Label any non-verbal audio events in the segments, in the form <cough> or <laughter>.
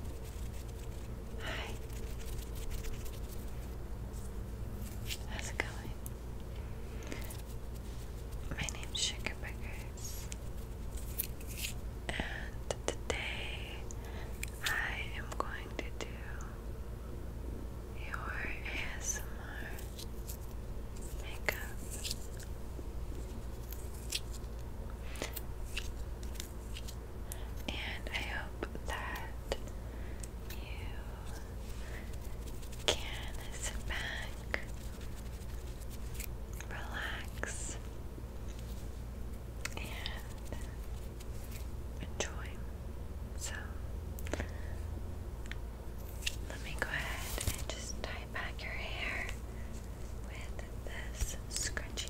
Hi. How's it going? My name's Sugar Burgers, and today I am going to do your ASMR makeup and I hope that you can sit back, relax, and enjoy. So, let me go ahead and just tie back your hair with this scrunchie.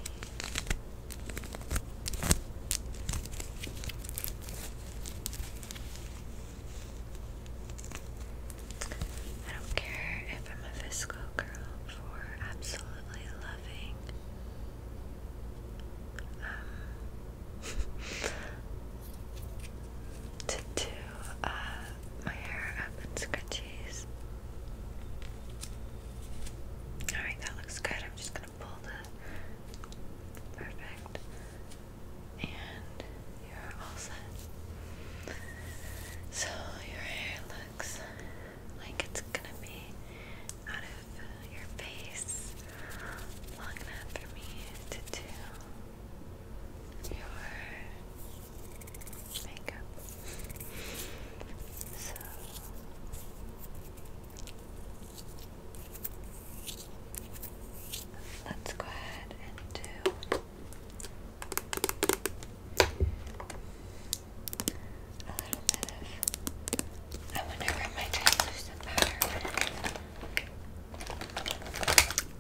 I don't care if I'm a Visco girl for absolutely loving um, <laughs> to do uh, my hair up in scrunchies. Alright, that looks good. I'm just gonna pull the perfect. And you're all set. So your hair looks like it's gonna be out of your face long enough for me to do your makeup. So let's go ahead and do a little bit I wonder where my translucent powder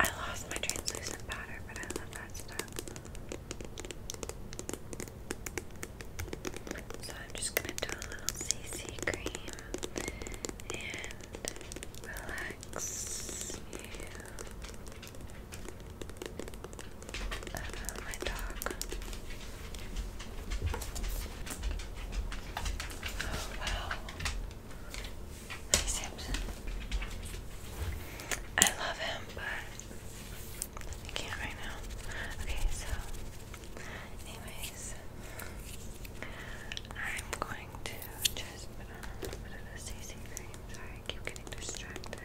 I lost my translucent powder, but I love that stuff. So I'm just gonna do a little CC cream and relax you. my dog. Oh wow. Hi Samson. I love him, but I can't right now. Okay, so anyways, I'm going to just put on a little bit of a CC cream. Sorry, keep getting distracted.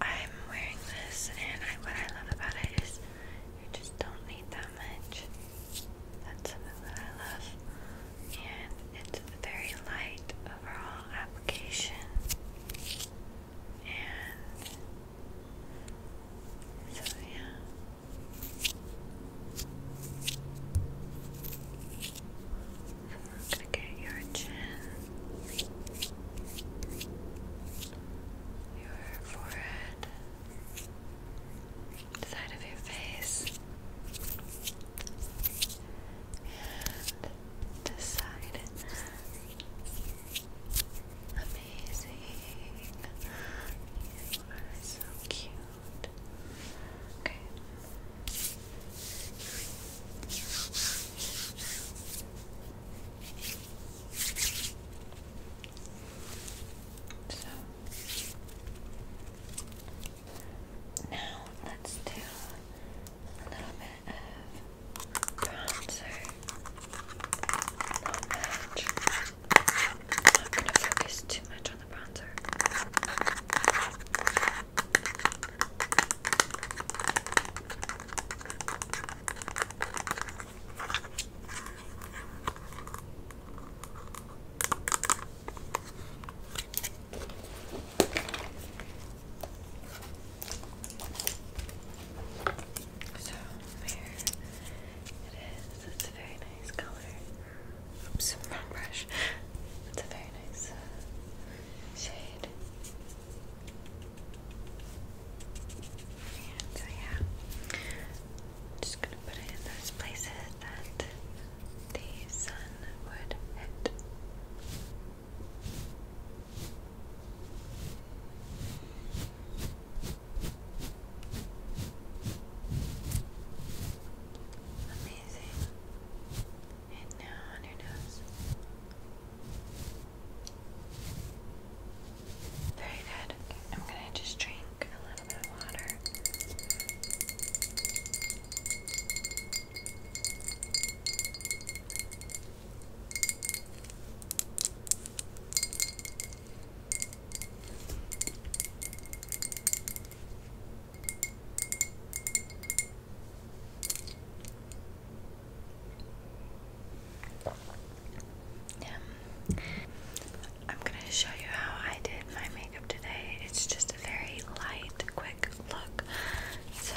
I'm wearing this, and I, what I love about it is you just don't need that much. That's something that I love, and it's a very light overall application. And so, yeah. So we're gonna get your chin, your forehead, side of your face, Decided. Amazing. You are so cute. Okay. So now let's do a little bit of bronzer. Not much. not going to focus too much on the bronzer. So here it is. It's a very nice color. Oops, wrong brush. It's a very nice uh, shade. And so uh, yeah, just gonna put it in those places that the sun would hit. Amazing. And now on your nose. Very good. I'm gonna just drink a little bit of water. Um, I'm going to show you how I did my makeup today. It's just a very light, quick look. So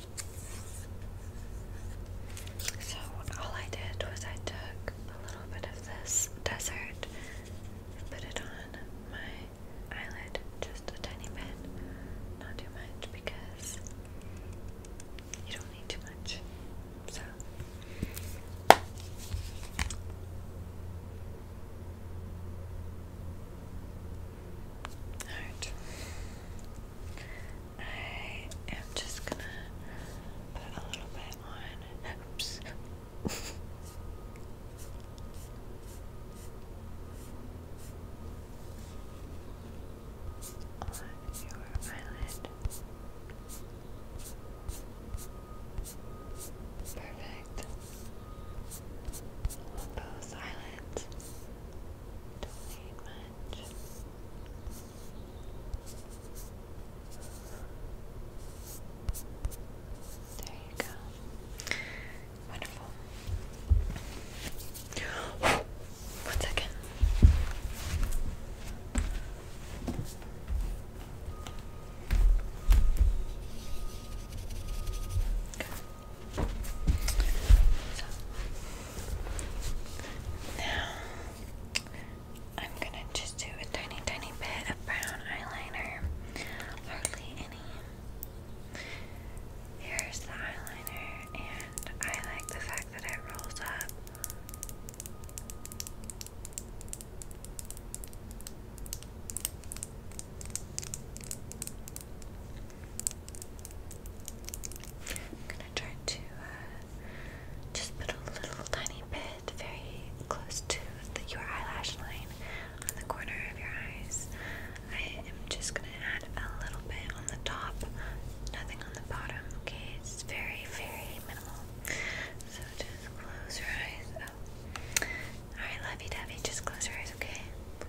So, all I did was I took a little bit of this desert and put it on my eyelid just a tiny bit, not too much because you don't need too much. So. Alright. I am just gonna put a little bit on. Oops. on your eyelid. Perfect. On both eyelids much. There you go. Wonderful. One second. So now I'm gonna just do a tiny, tiny bit of brown eyeliner. Hardly any. Here's the eyeliner, and I like the fact that it rolls up. I'm gonna try to uh, just put a little tiny bit very close to your eyelash line on the corner of your eyes. I am just gonna add a little bit on the top, nothing on the bottom, okay? It's very, very minimal. So just close your eyes. Oh. Alright, lovey dovey, just close your eyes, okay?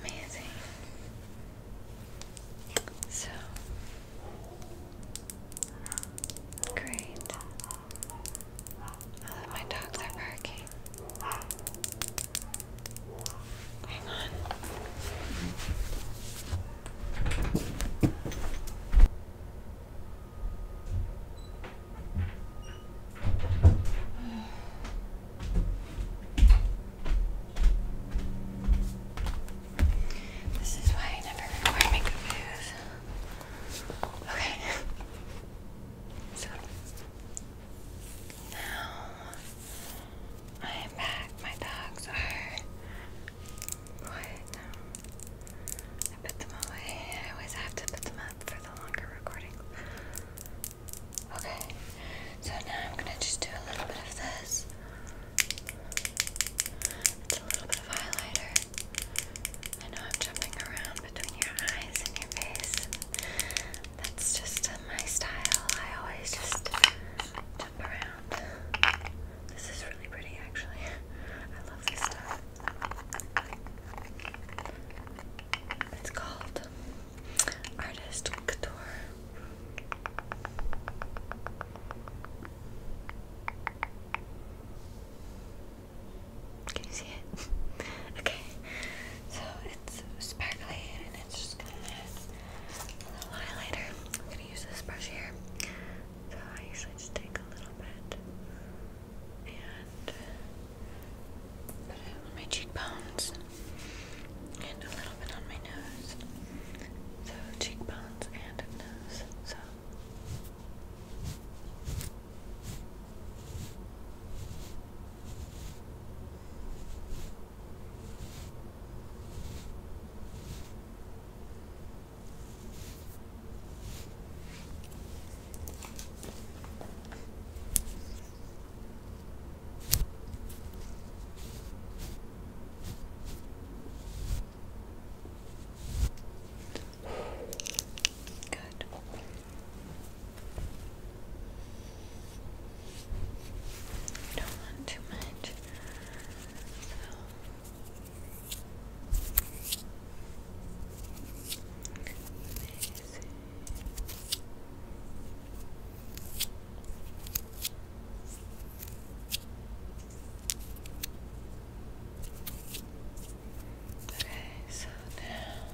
Amazing. So great. my dogs are barking. Hang on. This is why I never wear makeup Okay. So now I am back. My dogs are what? No. I put them away. I always have to put them up for the longer recording. Okay. So now I'm gonna just do a little bit of this. a little bit of highlighter. I know I'm jumping around between your eyes and your face. that's just uh, my style. I always just jump around. This is really pretty, actually. I love this stuff. It's called Artist Couture. Can you see it? <laughs> okay, so it's sparkly and it's just gonna add a little highlighter. I'm gonna use this brush here. So I usually just take a little bit and put it on my cheekbones and a little bit on my nose. So cheekbones and nose. So Good. You don't want too much. Okay, so now I'm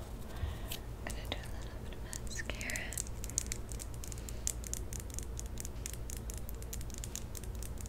gonna do a little bit of mascara.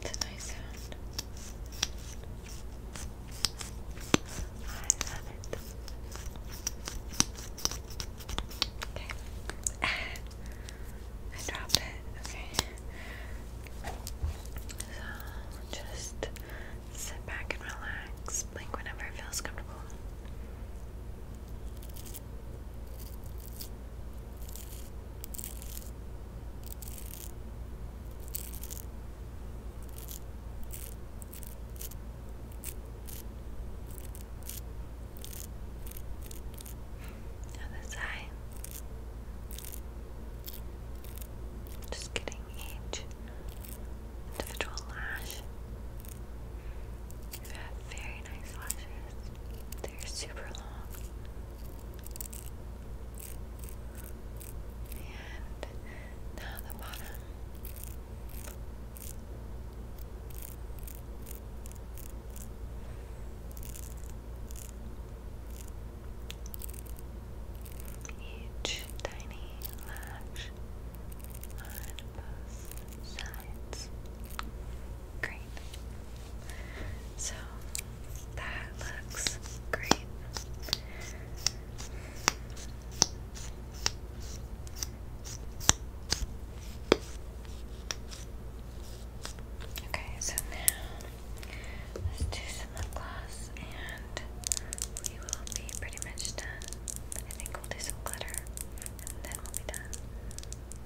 That's a nice sound. I love it. <laughs> Okay. I dropped it. Okay. So just sit back and relax. Blink whenever it feels comfortable. Other side. Just getting each individual lash very nice lashes. They're super long. And now the bottom. Each tiny lash on both sides. Great. So that looks great. Okay, so now let's do some lip gloss and we will be pretty much done. I think we'll do some glitter and then we'll be done.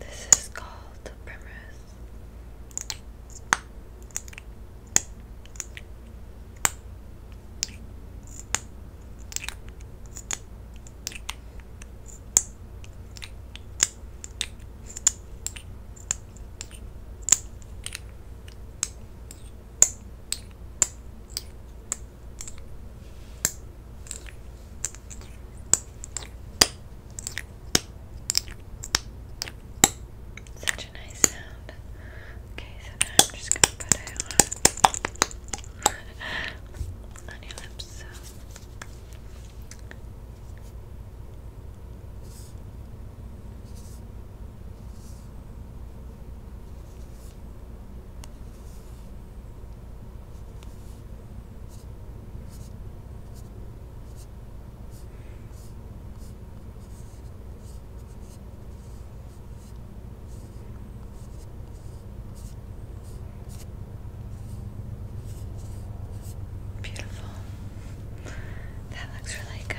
This is called the Primrose. Such a nice sound. Okay, so now I'm just gonna put it on <laughs> on your lips. Beautiful. That looks really good.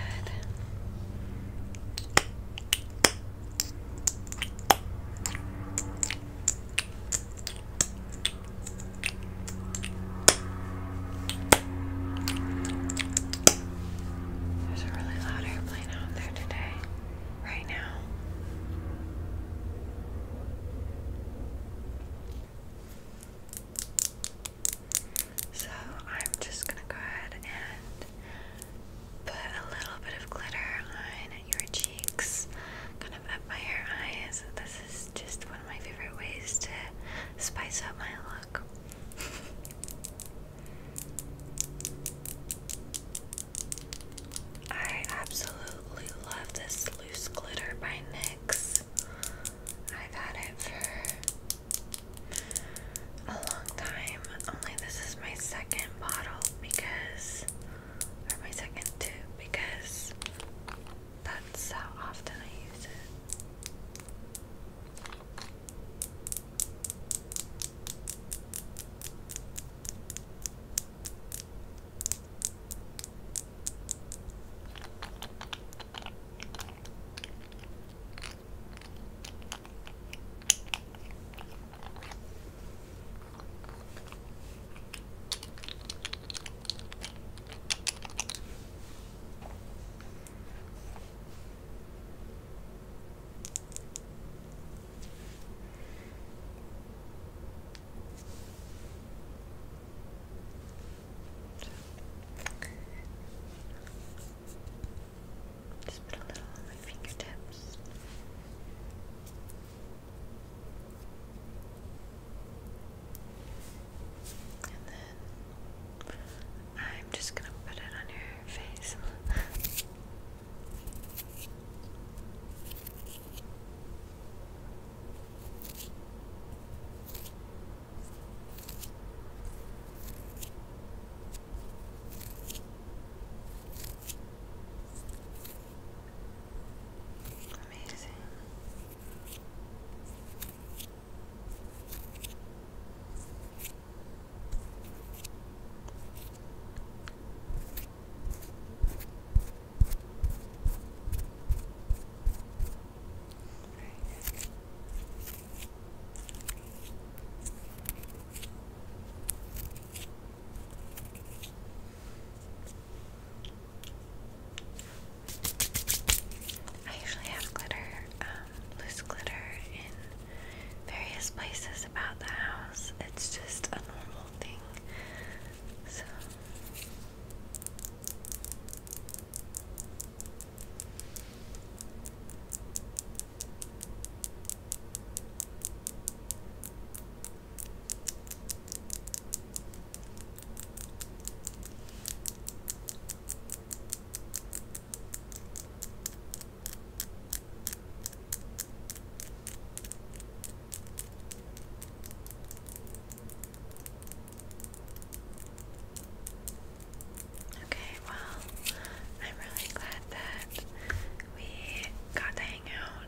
There's a really loud airplane out there today, right now. So I'm just gonna go ahead and put a little bit of glitter on your cheeks, kind of up by your eyes. This is just one of my favorite ways to spice up my look. <laughs> I absolutely love this loose glitter by NYX. have had it for a long time, only this is my second bottle because or my second tube because that's how often I use it. Just put a little on my fingertips. And then I'm just going to put it on your face. Amazing. Right. All I usually have glitter, um, loose glitter in various places about the house. It's just a normal thing. So Okay, well, I'm really glad that we got the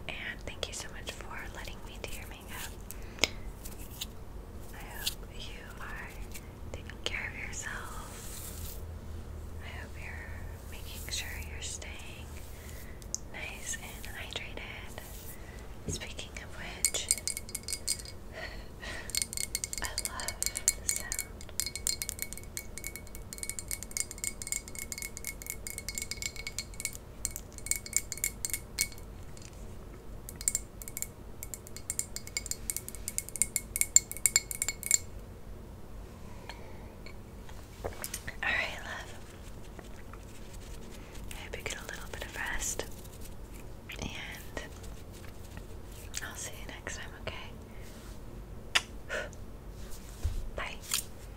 and thank you so much for letting me do your makeup. I hope you are taking care of yourself. I hope you're making sure you're staying nice and hydrated. Speaking of which, <laughs> I love the sound. All right, love. I hope you get a little bit of rest. And I'll see you next time, okay? <sighs> Bye.